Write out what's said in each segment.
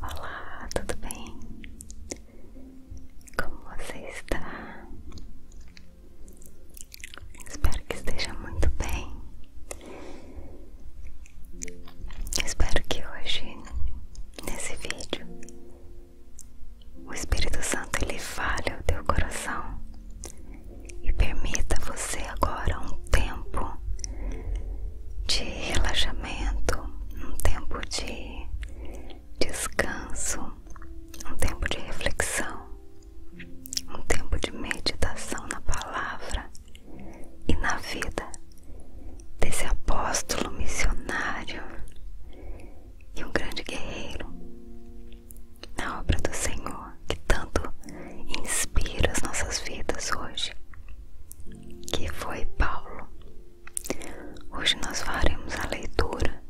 Olá, tudo bem? Como você está? Espero que esteja muito bem. Espero que hoje, nesse vídeo, o Espírito Santo ele fale o teu coração e permita você agora um tempo de relaxamento, um tempo de descanso, um tempo de reflexão um tempo de meditação na palavra e na vida desse apóstolo missionário e um grande guerreiro na obra do Senhor que tanto inspira as nossas vidas hoje, que foi Paulo. Hoje nós faremos a leitura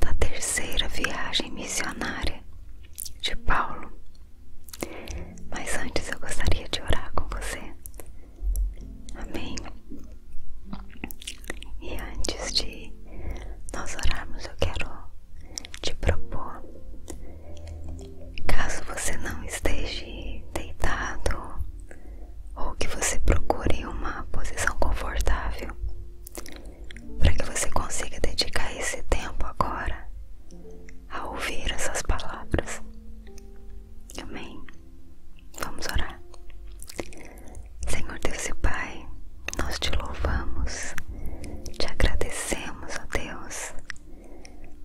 da terceira viagem missionária de Paulo. Mas antes eu gostaria de orar com você. Amém. E antes de nós orarmos, eu quero te propor, caso você não esteja deitado ou que você procure uma posição confortável, para que você consiga dedicar esse tempo agora a ouvir essas palavras. Amém. Vamos orar. Senhor Deus e Pai, nós te louvamos, te agradecemos, a Deus,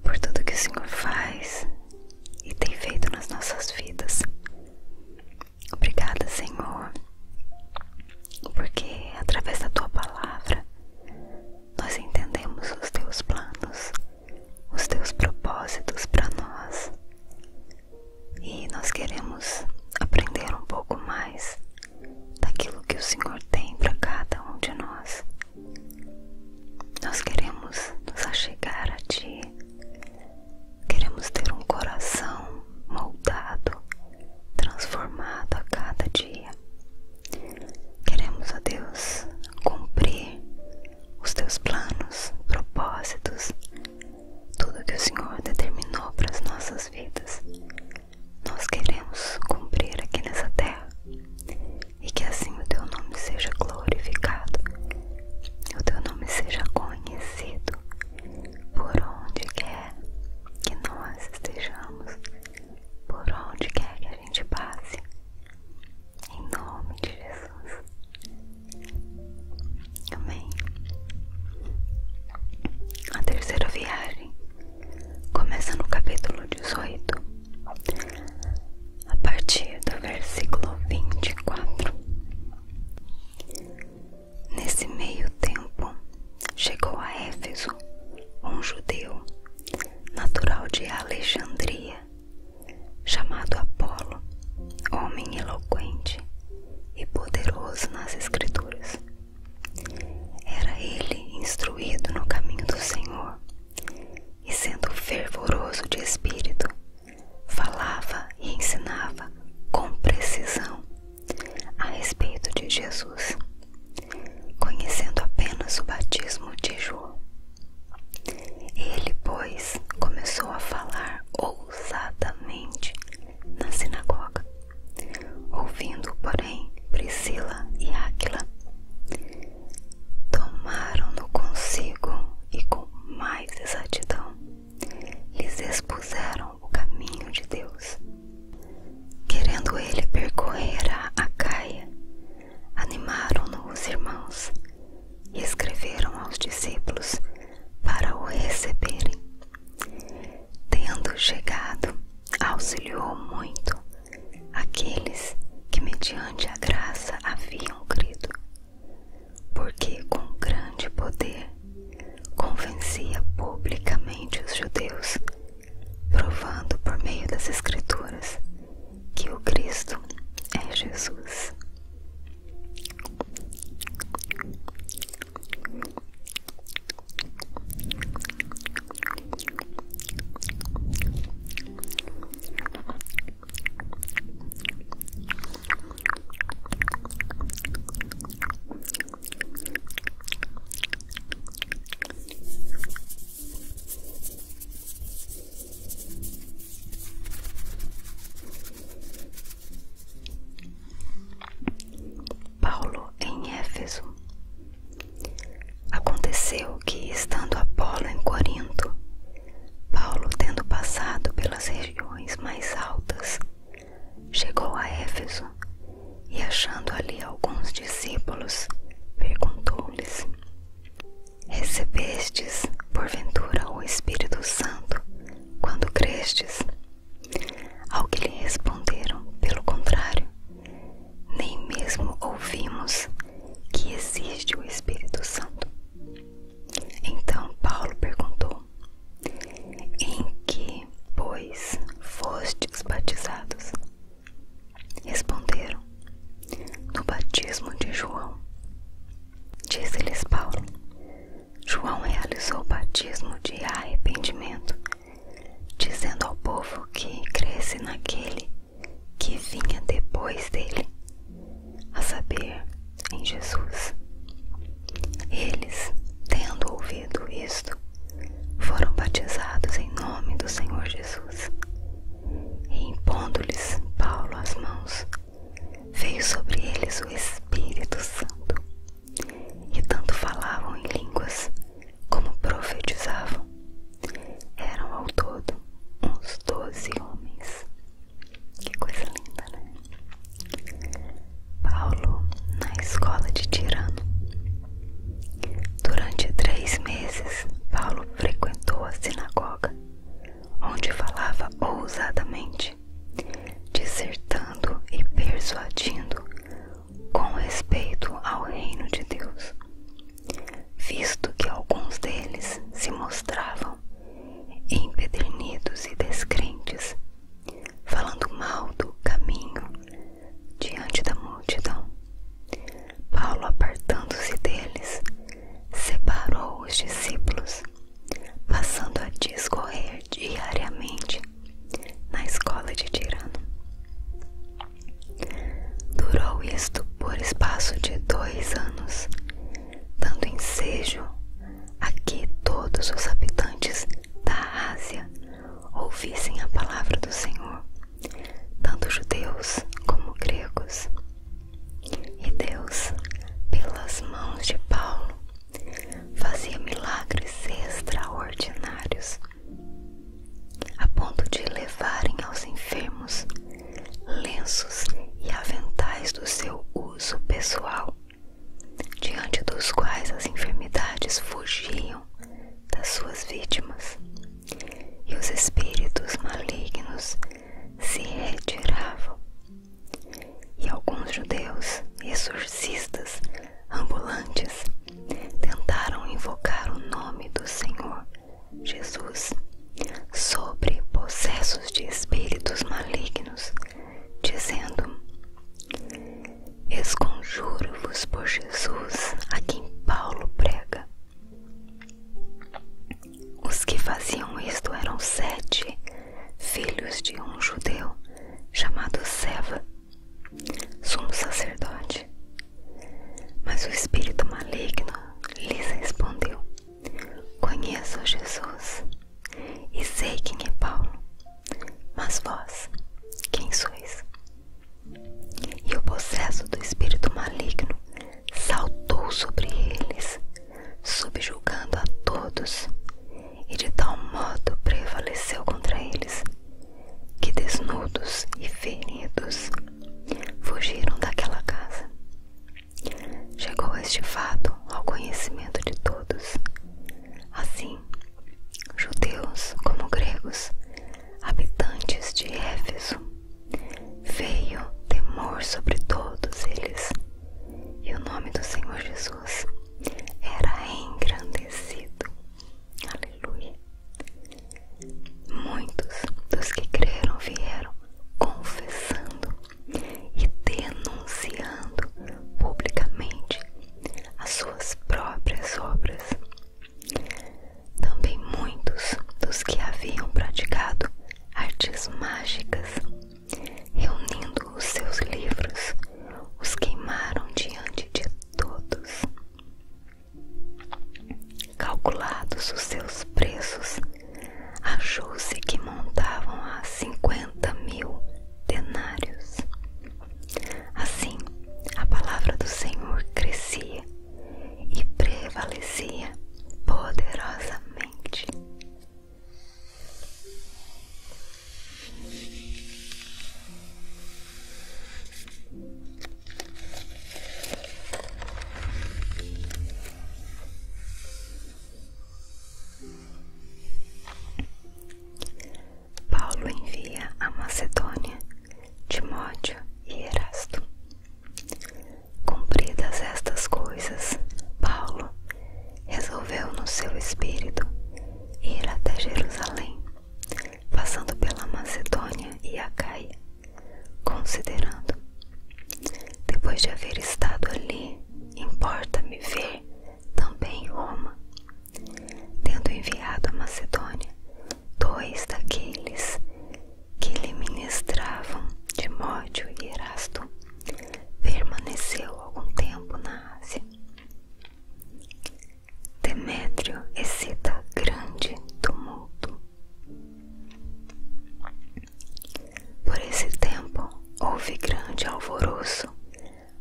por tudo que o Senhor faz e tem feito nas nossas vidas. Obrigada, Senhor, porque através da tua palavra nós entendemos os teus planos, os teus propósitos para nós. E nós queremos aprender um pouco mais daquilo que o Senhor tem para cada um de nós. Nós queremos nos achegar a Ti, queremos ter um coração moldado transformado a cada dia. Queremos, a Deus, cumprir os teus planos, propósitos, tudo que o Senhor determinou para as nossas vidas. Nós queremos cumprir aqui nessa terra e que assim o teu nome seja glorificado, o teu nome seja conhecido por onde quer que nós estejamos, por onde quer que a gente passe, em nome de Jesus. Amém. A terceira viagem começa no capítulo 18, a partir do versículo 24. Nesse meio tempo, chegou a Éfeso um judeu, natural de Alexandria, chamado Apolo, homem eloquente e poderoso nas Escrituras. Era ele instruído no caminho do Senhor e, sendo fervoroso de espírito, falava e ensinava com precisão a respeito de Jesus, conhecendo apenas o batismo de João. Ele, pois, começou a falar ousadamente na sinagoga, ouvindo, porém, Priscila e Áquila. Tomaram-no consigo e com mais exatidão lhes expuseram o caminho de Deus. Querendo ele percorrer a Acaia, animaram-no os irmãos e escreveram aos discípulos para o receberem. Tendo chegado, auxiliou muito aqueles que, mediante a graça, haviam crido, porque com grande poder convencia publicamente os judeus, provando por meio das Escrituras que o Cristo é Jesus. Paulo em Éfeso. Aconteceu que, estando Apolo em Corinto, Paulo, tendo passado pelas regiões mais altas, Chegou a Éfeso e, achando ali alguns discípulos, perguntou-lhes: Recebestes, porventura, o Espírito Santo quando crestes? Ao que lhe responderam, pelo contrário, nem mesmo ouvimos que existe o Espírito Santo. Então Paulo perguntou: em que, pois, fostes batizados? Responderam: No batismo de João. Disse-lhes Paulo: João realizou o batismo de arrependimento, dizendo ao povo que cresce naquele que vinha depois dele, a saber, em Jesus. Eles, tendo ouvido isto, foram batizados em nome do Senhor Jesus. E impondo-lhes Paulo as mãos, veio sobre eles o Espírito Santo. E tanto falavam em línguas como profetizavam. Eram ao todo uns doze homens. Que coisa linda, né? Paulo na escola de Tirano. Durante três meses, Paulo frequentou a sinagoga, onde falava ousadamente, dissertando e persuadindo com respeito ao reino de Deus, visto que alguns deles se mostravam empedernidos e descrentes falando mal do caminho diante da multidão. Paulo, apartando-se deles, separou os discípulos, passando a discorrer diariamente na escola de Tirano. Durou isto por espaço de dois anos, dando ensejo a que todos os habitantes da Ásia ouvissem a palavra do Senhor, tanto judeus como gregos. E Deus, pelas mãos de Paulo, fazia milagres extraordinários, a ponto de levarem aos enfermos lenços e aventais do seu uso pessoal diante dos quais as enfermidades fugiam das suas vítimas e os espíritos malignos se retiravam. E alguns judeus exorcistas ambulantes tentaram invocar o nome do Senhor Jesus sobre processos de espíritos malignos dizendo: Esconjuro-vos por Jesus a quem Paulo prega. Os que faziam isto eram sete, filhos de um judeu chamado Seva, sumo sacerdote. Mas o espírito maligno lhes respondeu: Conheço Jesus, e sei quem é Paulo, mas vós, quem sois? E o possesso do espírito maligno saltou sobre eles, subjugando a todos, e de tal modo prevaleceu contra eles, que desnudos e feridos fugiram daquela casa. Chegou este fato ao conhecimento de todos, Assim, judeus como gregos, habitantes de Éfeso, veio temor sobre todos eles, e o nome do Senhor Jesus era engrandecido. Aleluia. Muitos dos que creram vieram confessando e denunciando publicamente as suas próprias obras. Também muitos dos que haviam praticado artes mágicas, reunindo os seus livros, os queimaram diante de todos. Calculados os seus preços, achou-se que montavam a cinquenta mil denários, Assim, a palavra do Senhor crescia e prevalecia poderosamente. Paulo envia a Macedônia Timóteo e Erasto. Cumpridas estas coisas, Paulo resolveu no seu espírito ir até Jerusalém, passando pela Macedônia e a Caia, considerando, depois de haver estado ali, importa-me ver também Roma tendo enviado a Macedônia dois daqueles que lhe ministravam, Timóteo e Erasto, permaneceu algum tempo na Ásia. Demétrio excita grande tumulto. Por esse tempo houve grande alvoroço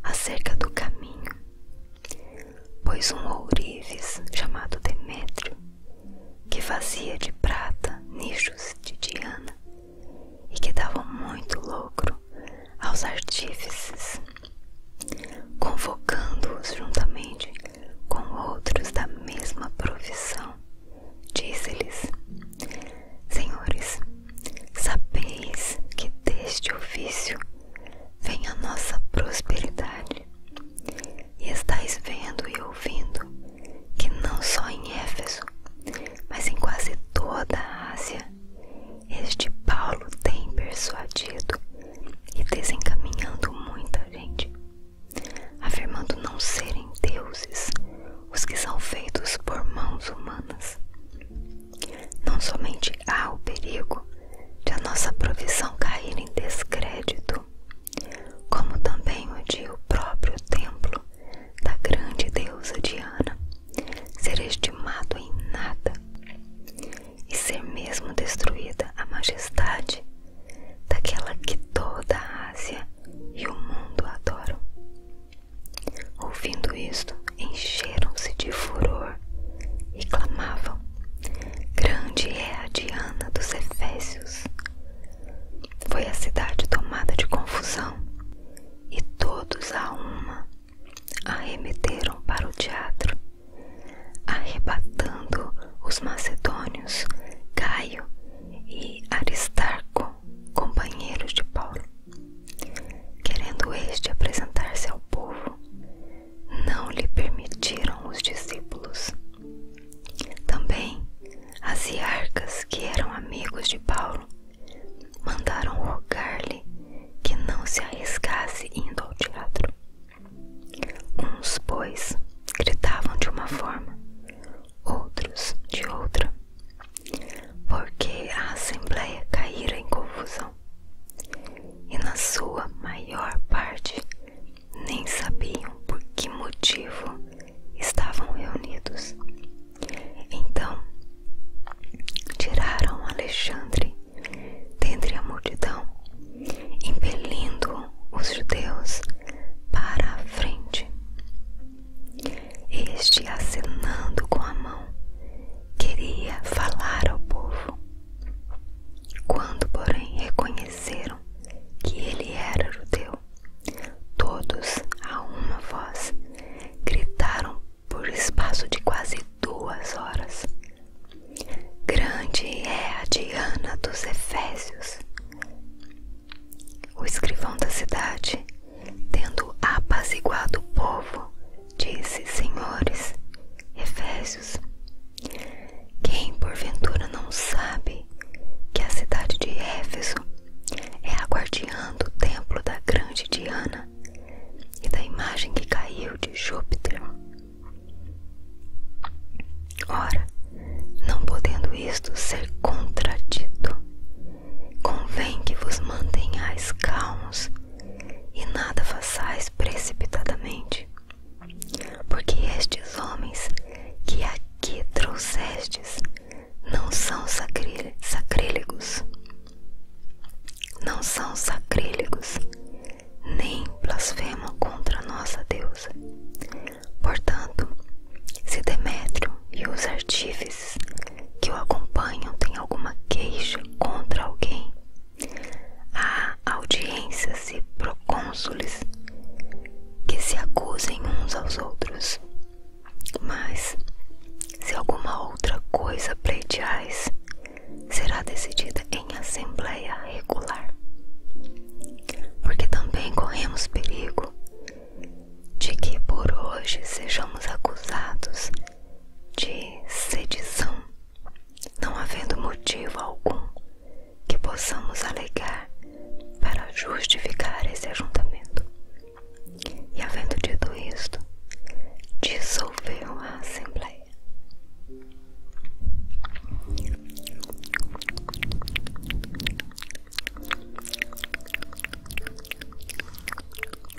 acerca do caminho, pois um ourives chamado Demétrio, que fazia de prata nichos de Diana e que dava muito lucro aos artífices, convocando-os juntamente com outros da mesma profissão, disse-lhes: Senhores, Sabeis que deste ofício vem a nossa prosperidade, e estáis vendo e ouvindo que não só em Éfeso, mas em quase toda a Ásia, este Paulo tem persuadido e desencaminhando muita gente, afirmando não serem deuses os que são feitos por mãos humanas, não somente há o perigo de a nossa provisão cair em descrédito, como também o de o próprio templo da grande deusa Diana ser estimado em nada e ser mesmo destruída a majestade daquela que toda a Ásia e o mundo adoram. Ouvindo isto, encheram-se de furor e clamavam: Grande é a Diana dos Efésios. Foi a cidade tomada de confusão, e todos a uma arremeteram para o teatro, arrebatando os macedônios Caio e Aristarco, companheiros de Paulo. Querendo este apresentar-se ao povo, não lhe permitiram os discípulos. Também as iarcas, que eram amigos de Paulo, mandaram rogar-lhe que não se arriscasse indo ao teatro. Uns, pois, gritavam de uma forma, outros de outra, porque a Assembleia caíra em confusão, e na sua maior parte nem sabiam por que motivo estavam reunidos. Então tiraram Alexandre dentre a multidão, impelindo os judeus para a frente. Este, acenando com a mão, queria falar ao povo. Quando, porém, reconheceram que ele era judeu, todos, a uma voz, gritaram por espaço de quase duas horas: Grande é a Diana dos Efésios. O escrivão da cidade Tendo apaziguado o povo, disse: Senhores, Efésios, quem porventura não sabe que a cidade de Éfeso é a guardiã do templo da grande Diana e da imagem que caiu de Júpiter? Ora, não podendo isto ser contradito, convém que vos mantenhais calmos e nada façais precipitadamente, porque estes homens que aqui trouxestes não são sacrílegos, não são sacrílegos, nem blasfemam contra nossa deusa. Portanto, se Demétrio e os artífices que o acompanham têm alguma queixa contra alguém, há audiências e procônsules que se acusem uns aos outros. Mas, se alguma outra coisa pleiteais, será decidida em assembleia regular. Porque também corremos perigo de que por hoje sejamos acusados de sedição, não havendo motivo algum que possamos alegar para justificar esse ajuntamento. E havendo dito isto, dissolveu a Assembleia.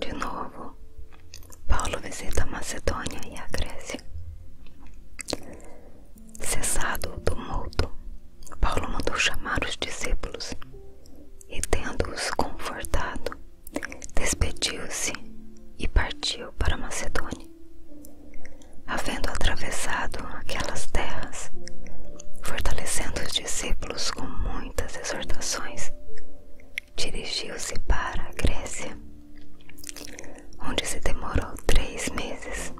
De novo, Paulo visita a Macedônia e a Grécia. Cessado o tumulto, Paulo mandou chamar os discípulos e, tendo-os confortado, despediu-se e partiu para Macedônia. Havendo atravessado aquelas terras, fortalecendo os discípulos com muitas exortações, dirigiu-se para a Grécia, onde se demorou três meses,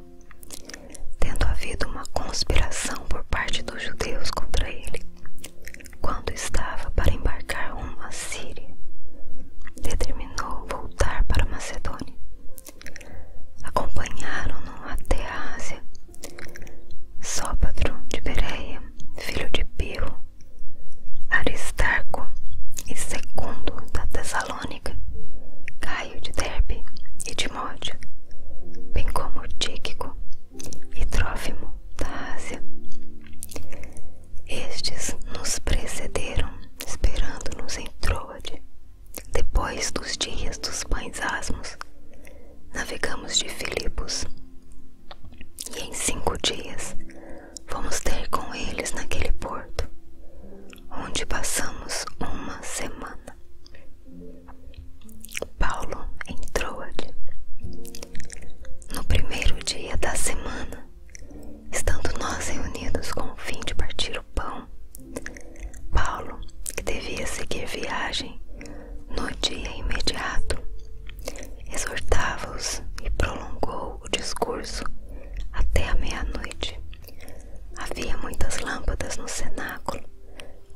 tendo havido uma conspiração por parte dos judeus contra ele, quando estava para embarcar rumo à Síria, determinou voltar para Macedônia. Acompanharam-no até a Ásia Sópatro de Bereia, filho de Pirro, Aristarco e Secundo da Tessalônica, Caio de Derbe e Timóteo, bem como Tíquico e Trófimo da Ásia. Estes nos precederam, esperando-nos em Troade. Depois dos dias dos pães asmos, navegamos de Filipos e em cinco dias fomos ter com eles naquele porto, onde passamos uma semana. Paulo entrou Troade. No primeiro dia da semana, estando nós reunidos com o fim de partir o pão, Paulo, que devia seguir viagem no dia imediato, exortava-os e prolongou o discurso até a meia-noite. Havia muitas lâmpadas no cenáculo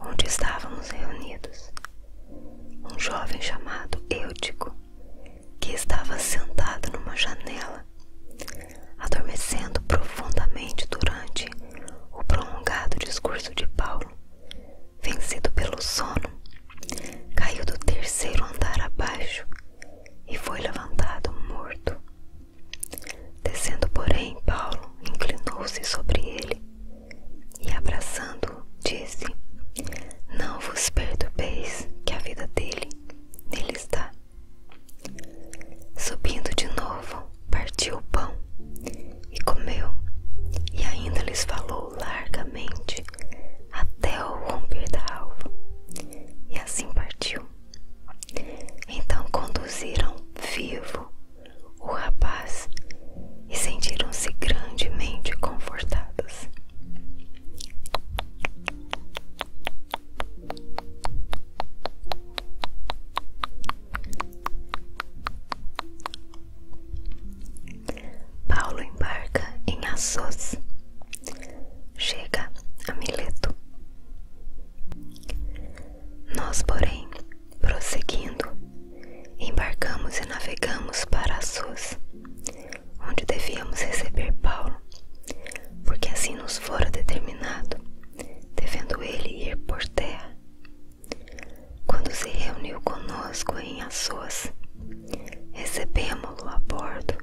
onde estávamos reunidos. Um jovem chamado Eutico, que estava sentado numa janela, adormecendo profundamente durante o prolongado discurso de Paulo vencido pelo sono, caiu do terceiro andar abaixo e foi levantado morto. Descendo, porém, Paulo inclinou-se sobre ele e, abraçando-o, disse: Não vos perturbeis, que a vida dele nele está. Subindo de novo, partiu o pão e comeu, e ainda lhes falou largamente até o romper da alva. E assim partiu. Então conduziram vivo o rapaz e sentiram-se grandemente confortados. Paulo embarca em Assos. Chega a Mileto. Nós, porém, prosseguindo, embarcamos e navegamos para Assos, onde devíamos receber Paulo, porque assim nos fora determinado, devendo ele ir por terra quando se reuniu conosco em Assos. Recebemos-lo a bordo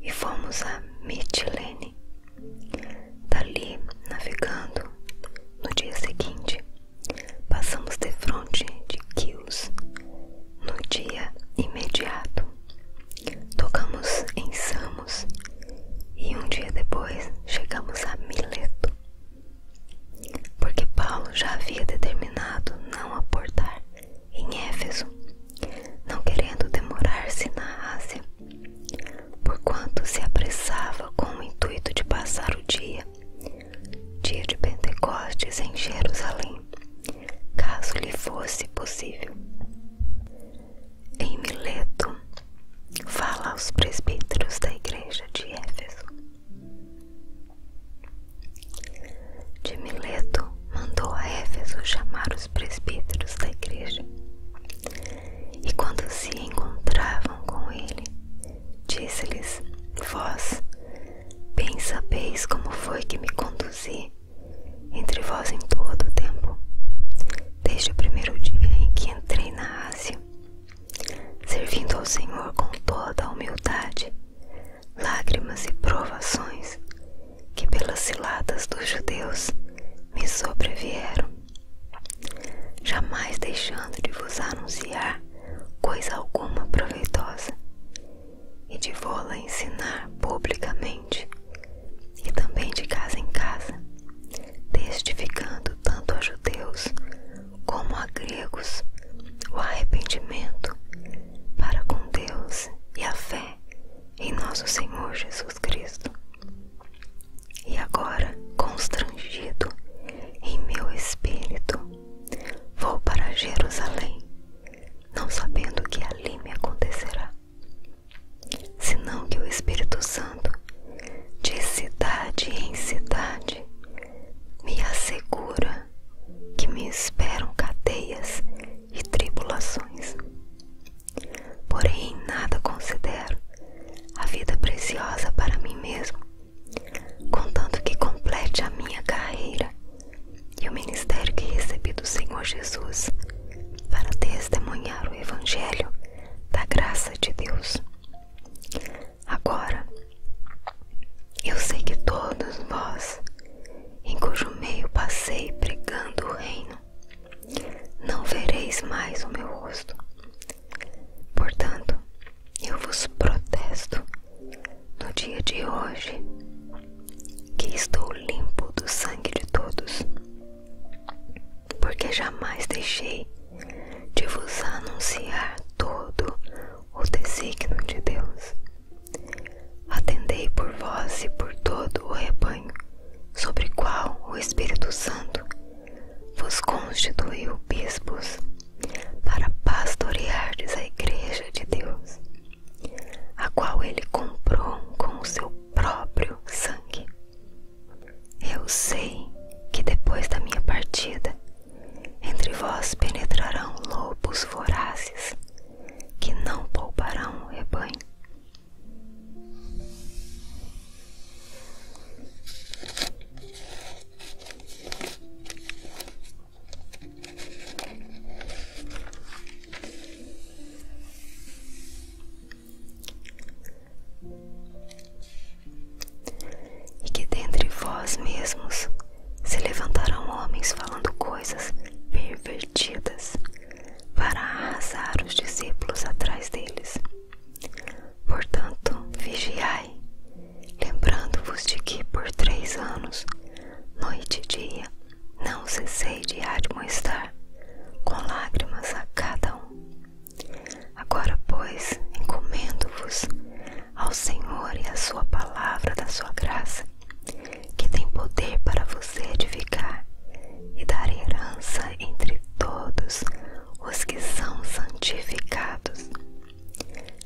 e fomos a Mitilene. Dali, navegando, no dia seguinte, passamos de frente de Kios. No dia imediato, tocamos em Samos e um dia depois chegamos a Mileto porque Paulo já havia determinado não aportar em Éfeso, não querendo demorar-se na Ásia, porquanto se apressava com o intuito de passar o dia, dia de Pentecostes em Jerusalém, caso lhe fosse possível. Em Mileto Paulo fala aos presbíteros da igreja de Éfeso. De Mileto mandou a Éfeso chamar os presbíteros da igreja. E quando se encontravam com ele, disse-lhes: Vós bem sabeis como foi que me conduzi entre vós em todo o tempo, desde o primeiro dia em que entrei na Ásia servindo ao Senhor com toda a humildade, lágrimas e provações que pelas ciladas dos judeus me sobrevieram, jamais deixando de vos anunciar coisa alguma proveitosa e de vô-la ensinar publicamente e também de casa em casa, testificando tanto a judeus como a gregos, o arrependimento para com Deus e a fé em nosso Senhor Jesus Cristo. E agora, constrangido em meu espírito, vou para Jerusalém, não sabendo o que ali me acontecerá, senão que o Espírito Santo de cidade em cidade, me assegura que me esperam cadeias e tribulações. Porém, em nada considero a vida preciosa para mim mesmo, contanto que complete a minha carreira e o ministério que recebi do Senhor Jesus para testemunhar o Evangelho da graça de Deus. Agora, eu sei que todos vós, em cujo meio passei pregando o reino, não vereis mais o meu rosto. Portanto, eu vos protesto no dia de hoje que estou limpo do sangue de todos, porque jamais deixei de vos anunciar todo o desígnio de Deus. Atendei por vós e por todo o rebanho, sobre qual o Espírito Santo vos constituiu bispos, para pastoreardes a igreja de Deus, a qual ele comprou com o seu próprio sangue. Eu sei que depois da minha partida, entre vós penetrarão lobos vorazes que não pouparão rebanho. E que dentre vós mesmos se levantarão homens falando coisas pervertidas para arrasar os discípulos atrás deles. Portanto, vigiai, lembrando-vos de que por três anos, noite e dia, não cessei de admoestar com lágrimas a cada um. Agora, pois, encomendo-vos ao Senhor e à Sua palavra da Sua graça, que tem poder para vos edificar e dar herança entre todos os que são santificados.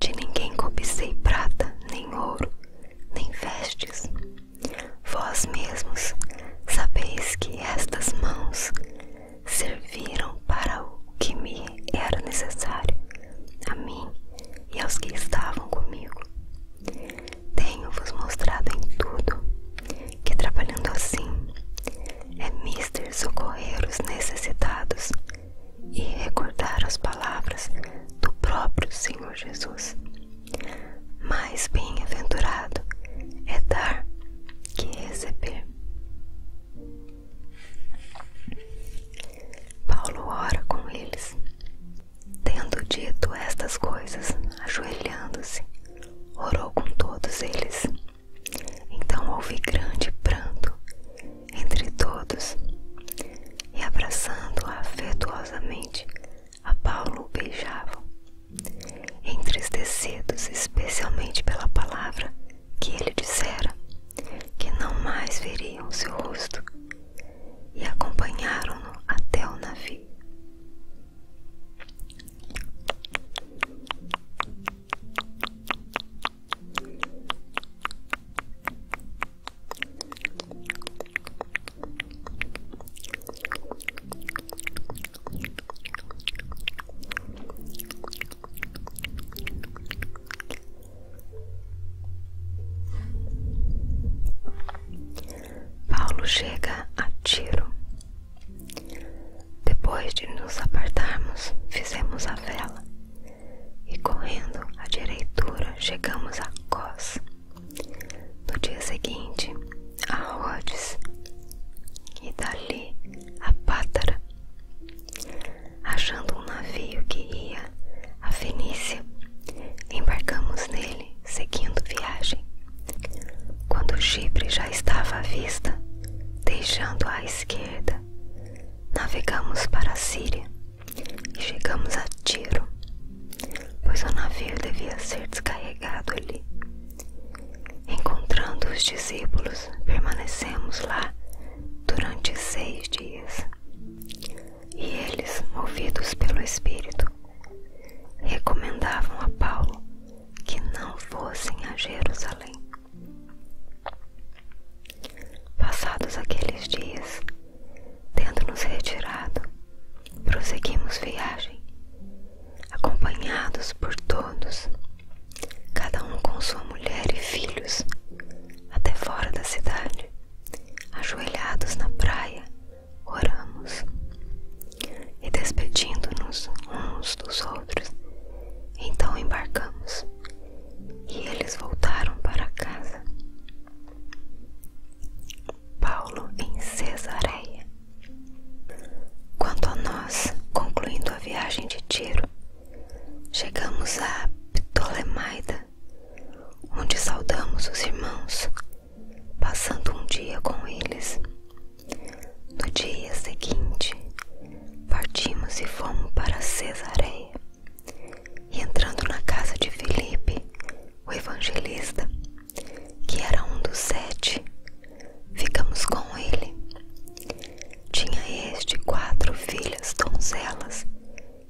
De ninguém cobicei prata, nem ouro, nem vestes. Vós mesmos sabeis que estas mãos serviram para o que me era necessário, a mim e aos que estavam comigo. Tenho-vos mostrado em tudo que, trabalhando assim, é mister socorrer os necessitados e recordar as palavras do próprio Senhor Jesus. Mais bem-aventurado é dar que receber. Paulo ora com eles. Tendo dito estas coisas, ajoelhando-se, orou com todos eles. Então houve grande pranto entre todos, e abraçando a afetuosamente, a Paulo o beijavam, entristecidos especialmente pela palavra que ele dissera que não mais veriam seu rosto e acompanharam-no até o navio. Paulo chega a Tiro. Depois de nos apartarmos, fizemos a vela e, correndo à direitura, chegamos a Cos. No dia seguinte, a Rhodes e dali a Pátara Achando um navio que ia à Fenícia, embarcamos nele, seguindo viagem. Quando Chipre já estava à vista, deixando à esquerda, navegamos para a Síria e chegamos a Tiro, pois o navio devia ser descarregado ali Encontrando os discípulos, permanecemos lá durante seis dias. E eles, movidos pelo Espírito, recomendavam a Paulo que não fossem a Jerusalém. Passados aqueles dias, tendo nos retirado, prosseguimos viagem acompanhados por todos, cada um com sua mulher e filhos, até fora da cidade, ajoelhados na praia, oramos e despedindo-nos uns dos outros, então embarcamos e eles voltaram para casa. Paulo em Cesareia. Quanto a nós, concluindo a viagem de Tiro, chegamos a Ptolemaida, onde saudamos os irmãos, passando um dia com eles. No dia seguinte, partimos e fomos para Cesareia, e entrando na casa de Felipe, o evangelista, que era um dos sete, Ficamos com ele. Tinha este quatro filhas donzelas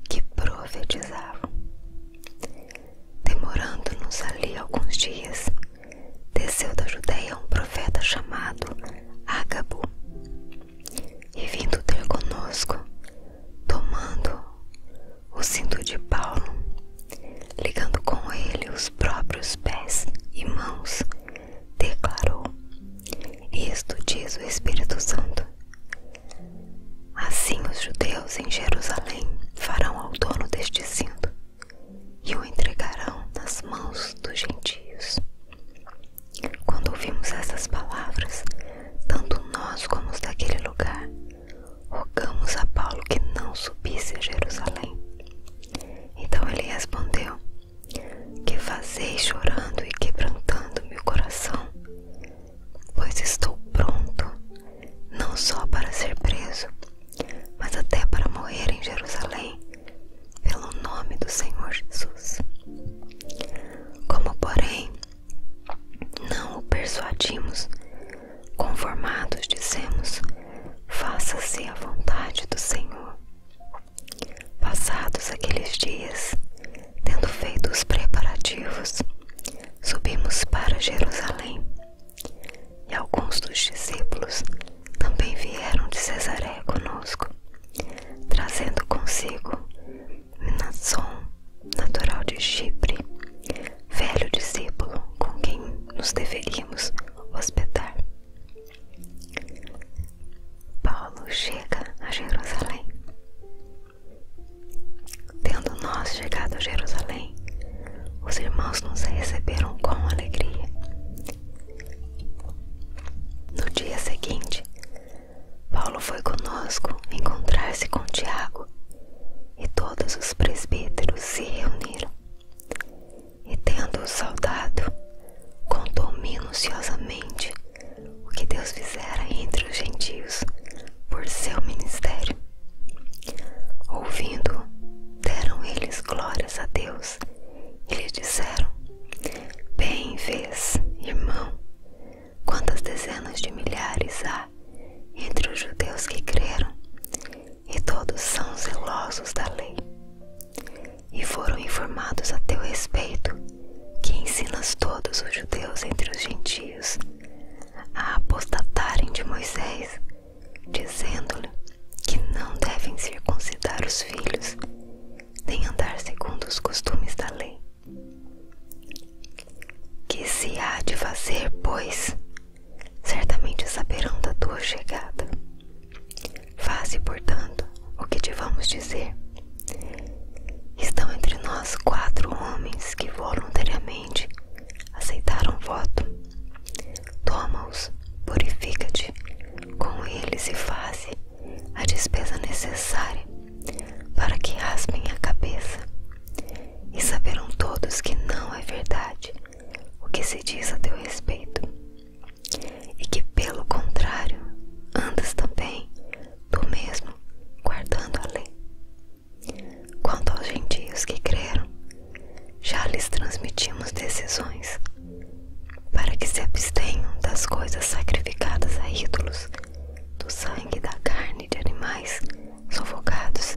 que profetizavam. Demorando-nos ali alguns dias, desceu da Judéia um profeta chamado Agabo e vindo ter conosco, tomando o cinto de Paulo, ligando com ele os próprios pés e mãos, declarou: Isto diz o Espírito Santo. Assim os judeus em Jerusalém farão ao dono deste cinto e o entregarão nas mãos dos gentios. Quando ouvimos essas palavras, tanto nós como os daquele lugar, rogamos a Paulo que não subisse a Jerusalém. Então ele respondeu: que fazeis chorando e quebrantando meu coração, pois estou pronto, não só para ser preso, mas até para morrer em Jerusalém, pelo nome do Senhor Jesus. Como, porém, não o persuadimos, conformados dissemos: faça-se a vontade do Senhor. Passados aqueles dias, tendo feito os preparativos, subimos para Jerusalém. E alguns dos discípulos também vieram de Cesareia conosco, trazendo consigo Minasson, natural de Chipre, velho discípulo com quem nos deveríamos hospedar. Paulo chega a Jerusalém. Tendo nós chegado a Jerusalém, os irmãos nos receberam com alegria. No dia seguinte, Paulo foi conosco encontrar-se com Tiago e todos os presbíteros se reuniram. E tendo-o saudado, contou minuciosamente o que Deus fizera entre os gentios por seu ministério. Ouvindo, deram eles glórias a Deus e lhe disseram: Bem vês, irmão, quantas dezenas de milhares há entre os judeus que creram, e todos são zelosos da lei e foram informados a teu respeito que ensinas todos os judeus entre os gentios a apostatarem de Moisés, dizendo-lhe que não devem circuncidar os filhos, nem andar segundo os costumes da lei. Que se há de fazer, pois, certamente saberão da tua chegada. Faze, portanto, o que te vamos dizer. Estão entre nós quatro homens que voluntariamente aceitaram o voto. Toma-os, purifica-te com eles e faze a despesa necessária para que raspem a cabeça. E saberão todos que não é verdade o que se diz a teu respeito e que, pelo contrário, andas também tu mesmo guardando a lei. Quanto aos gentios que creram, já lhes transmitimos decisões para que se abstenham das coisas sacrificadas a ídolos, do sangue e da carne de animais sofocados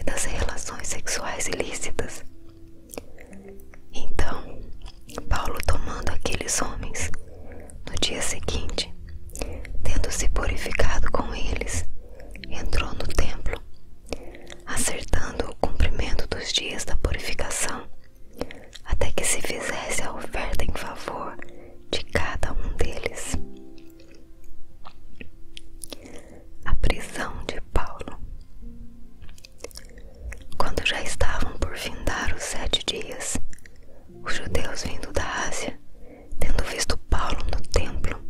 e das relações sexuais ilícitas, então, Paulo, tomando aqueles homens, no dia seguinte, tendo-se purificado com eles, entrou no templo, acertando o cumprimento dos dias da purificação, até que se fizesse a oferta em favor de cada um deles. A prisão de Paulo. Quando já estavam por findar os sete dias, os judeus vindo da Ásia, tendo visto Paulo no templo,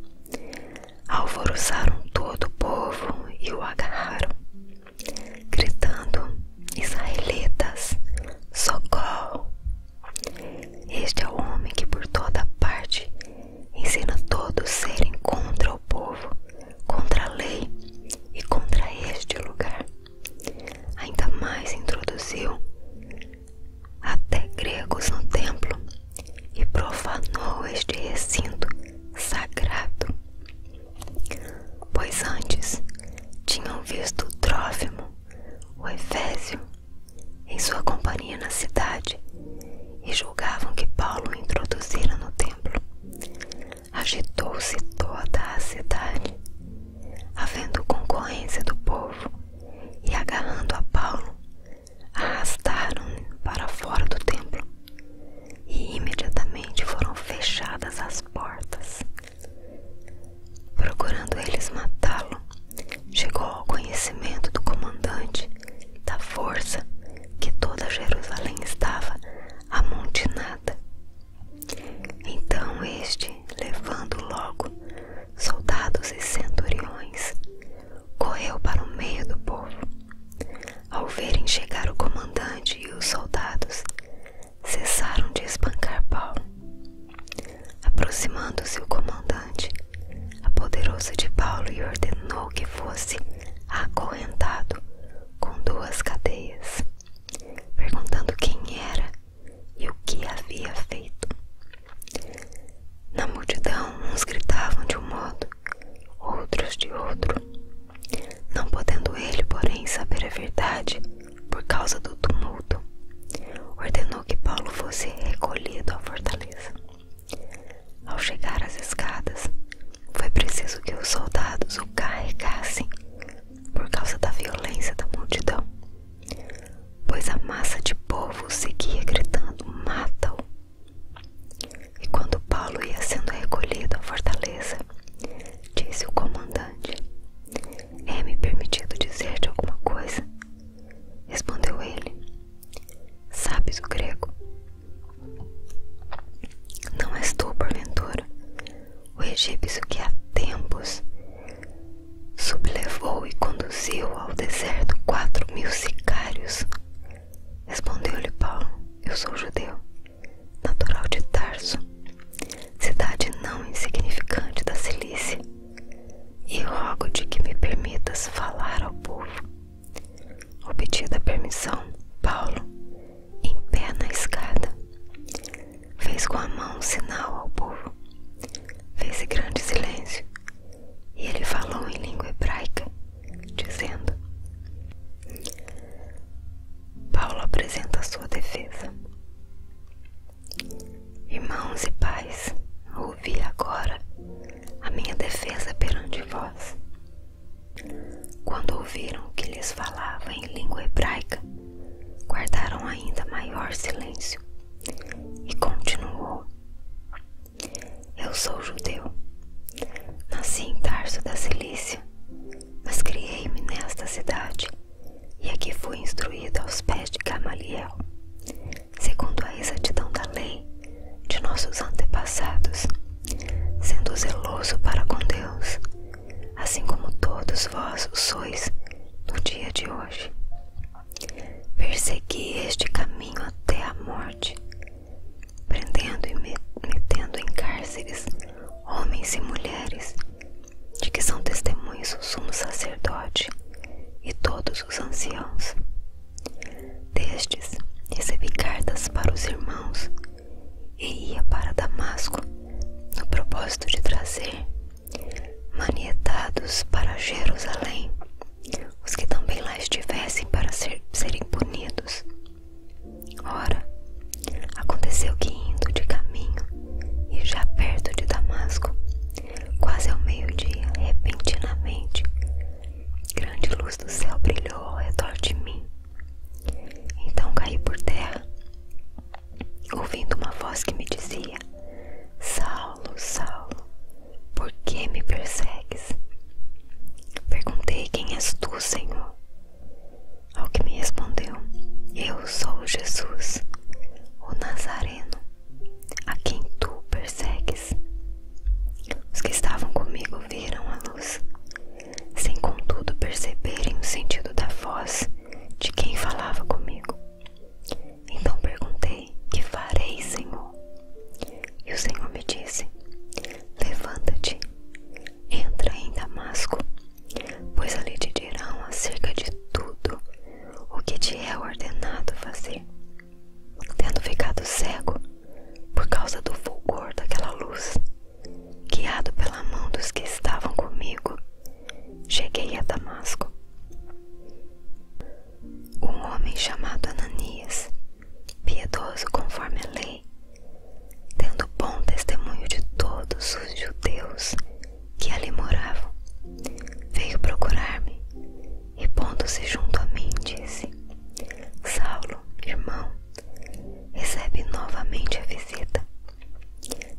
alvoroçaram todo o povo e o agarraram, gritando: Israelitas, socorro! Este é o homem que por toda parte ensina todos serem contra o povo contra a lei e contra este lugar. Ainda mais introduziu até gregos no templo e profanou este recinto sagrado. Pois antes tinham visto o Trófimo, o Efésio, em sua companhia na cidade e julgavam que Paulo o introduzira no templo agitou-se toda a cidade, havendo concorrência do povo, e agarrando a Paulo, arrastaram-no para fora do templo, e imediatamente foram fechadas as portas. Procurando eles matá-lo, chegou ao conhecimento do comandante da força que toda Jerusalém estava amontinada. Então este, levando logo soldados e centuriões, correu para o meio do povo. Ao verem chegar o comandante e os soldados, cessaram de espancar Paulo. Aproximando-se o comandante, apoderou-se de Paulo e ordenou que fosse acorrentado com duas cadeias, perguntando quem era e o que havia feito. Na multidão, uns gritavam de um modo, outros de outro. Não podendo ele, porém, saber a verdade por causa do tumulto, ordenou que Paulo fosse recolhido à fortaleza. Ao chegar às escadas, foi preciso que os soldados o carregassem por causa da violência da multidão, pois a massa de povo seguia gritando: Mata-o! E quando Paulo ia sendo recolhido à fortaleza, disse o comandante: É-me permitido dizer-te alguma coisa? Respondeu ele: Sabes o grego? Não és tu, porventura, o egípcio que há tempos sublevou e conduziu ao deserto quatro mil sicários? Respondeu-lhe Paulo: Eu sou judeu, natural de Tarso, cidade não insignificante da Cilícia, e rogo-te que me permitas falar ao povo Obtida a permissão, Paulo, em pé na escada, fez com a mão sinal ao burro, Fez-se grande silêncio, e ele falou em língua hebraica, dizendo: Paulo apresenta a sua defesa. Irmãos e pais, ouvi agora a minha defesa perante vós. Quando ouviram o que lhes falava em língua hebraica, guardaram ainda maior silêncio. E continuou: Eu sou judeu. Nasci em Tarso da Cilícia, mas criei-me nesta cidade, e aqui fui instruído aos pés de Gamaliel, segundo a exatidão da lei de nossos antepassados sendo zeloso para com Deus, assim como todos vós sois no dia de hoje. Persegui este caminho até a morte, prendendo e metendo em cárceres homens e mulheres, de que são testemunhos o sumo sacerdote e todos os anciãos. Destes recebi cartas para os irmãos e ia para Damasco no propósito de trazer manietados para Jerusalém os que também lá estivessem para serem punidos. Ora, aconteceu que indo de caminho e já perto de Damasco, quase ao meio-dia, repentinamente, grande luz do céu brilhou ao redor de mim então caí por terra, ouvindo uma voz que me dizia: Saulo, Saulo, por que me persegues? Perguntei: Quem és tu, Senhor? Ao que me respondeu: Eu sou Jesus, o Nazareno, a quem tu persegues. Os que estavam comigo viram a luz sem contudo perceberem o sentido da voz de quem falava comigo. Então perguntei: Que farei, Senhor? E o Senhor me disse: Levanta-te, entra em Damasco, pois ali te dirão acerca de tudo o que te é ordenado fazer. Tendo ficado cego por causa do fulgor daquela luz, Guiado pela mão dos que estavam comigo, cheguei a Damasco. Um homem chamado Ananias, piedoso conforme a lei, tendo bom testemunho de todos os judeus que ali moravam, veio procurar-me e, pondo-se junto a mim, disse: Saulo, irmão, recebe novamente a visita.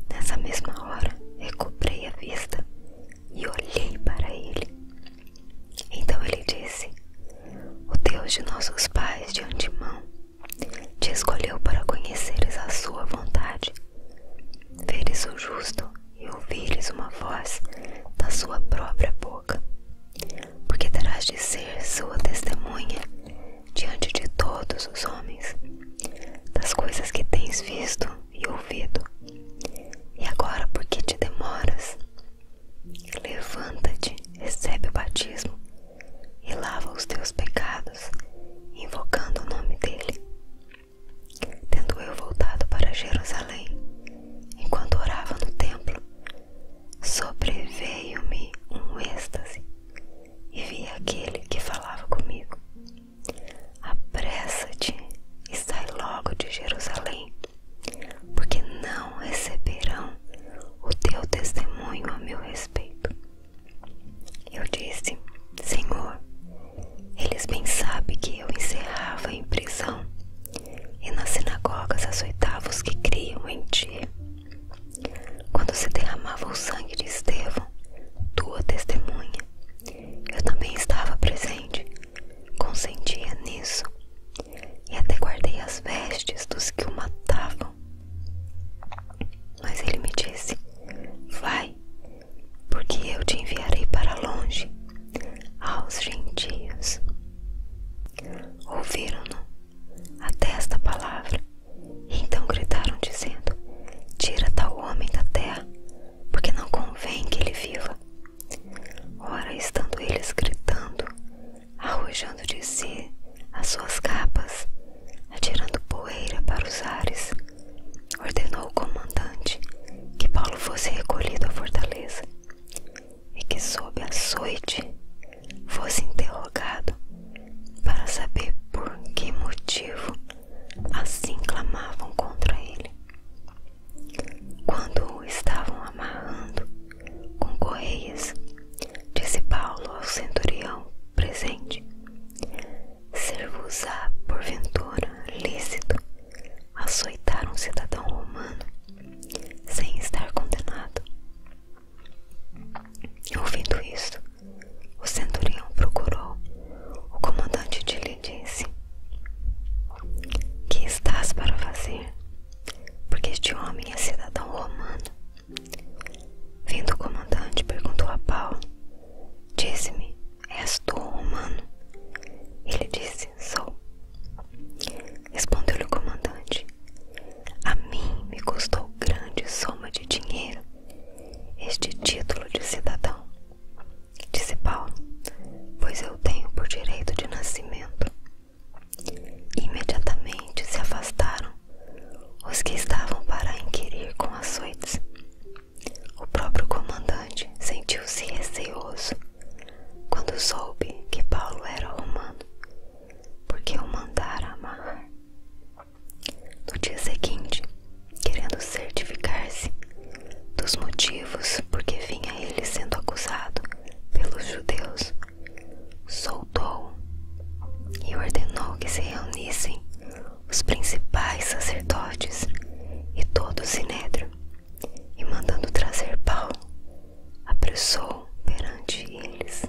Nessa mesma hora, recobrei a vista e olhei para ele. Então ele disse: O Deus de nossos pais de antemão te escolheu para conheceres a sua vontade, veres o justo e ouvires uma voz da sua própria boca porque terás de ser sua testemunha diante de todos os homens das coisas que tens visto e ouvido. E agora, porque te demoras? Levanta-te, recebe o batismo e lava os teus pecados, invocando o nome dele. Tendo eu voltado para Jerusalém, enquanto orava no templo, Sobreveio-me um êxtase e vi aquele que falava comigo. Apressa-te e sai logo de Jerusalém, porque não receberão o teu testemunho a meu respeito. Eu disse, Senhor, eles bem sabem que eu encerrava em prisão e nas sinagogas açoitava os que criam em ti. Quando se derramava o sangue de Estevão, tua testemunha, eu também estava presente, consentia nisso, e até guardei as vestes dos que o matavam. Mas ele me disse: Vai, porque eu te enviarei para longe, aos gentios. Ouviram-no até esta palavra, então gritaram, dizendo: Tira tal homem da terra, porque não convém que ele viva. Ora, estando eles gritando, arrojando de si as suas capas, atirando poeira para os ares, ordenou o comandante que Paulo fosse recolhido à fortaleza e que, sob açoite, fosse interrogado para saber por que motivo assim clamavam contra ele. Quando o estavam amarrando com correias, disse Paulo ao centurião presente: Ser-vos-á, porventura, lícito açoitar um cidadão romano sem estar condenado. Ouvindo isso, o centurião procurou o comandante de lhe disse: Que estás para fazer? Porque este homem é cidadão romano. Vindo o comandante, perguntou a Paulo: Diz-me, és tu romano? Ele disse: Sou respondeu-lhe o comandante. A mim me custou grande soma de dinheiro este título de cidadão, disse Paulo, pois eu tenho por direito de nascimento. Imediatamente se afastaram os que estavam para inquirir com açoites. O próprio comandante sentiu-se receoso quando soube que Paulo era romano porque o mandara amar. No dia seguinte, querendo certificar-se dos motivos por que vinha ele sendo acusado pelos judeus, soltou e ordenou que se reunissem os principais sacerdotes e todo o sinédrio, e mandando trazer Paulo, apressou perante eles.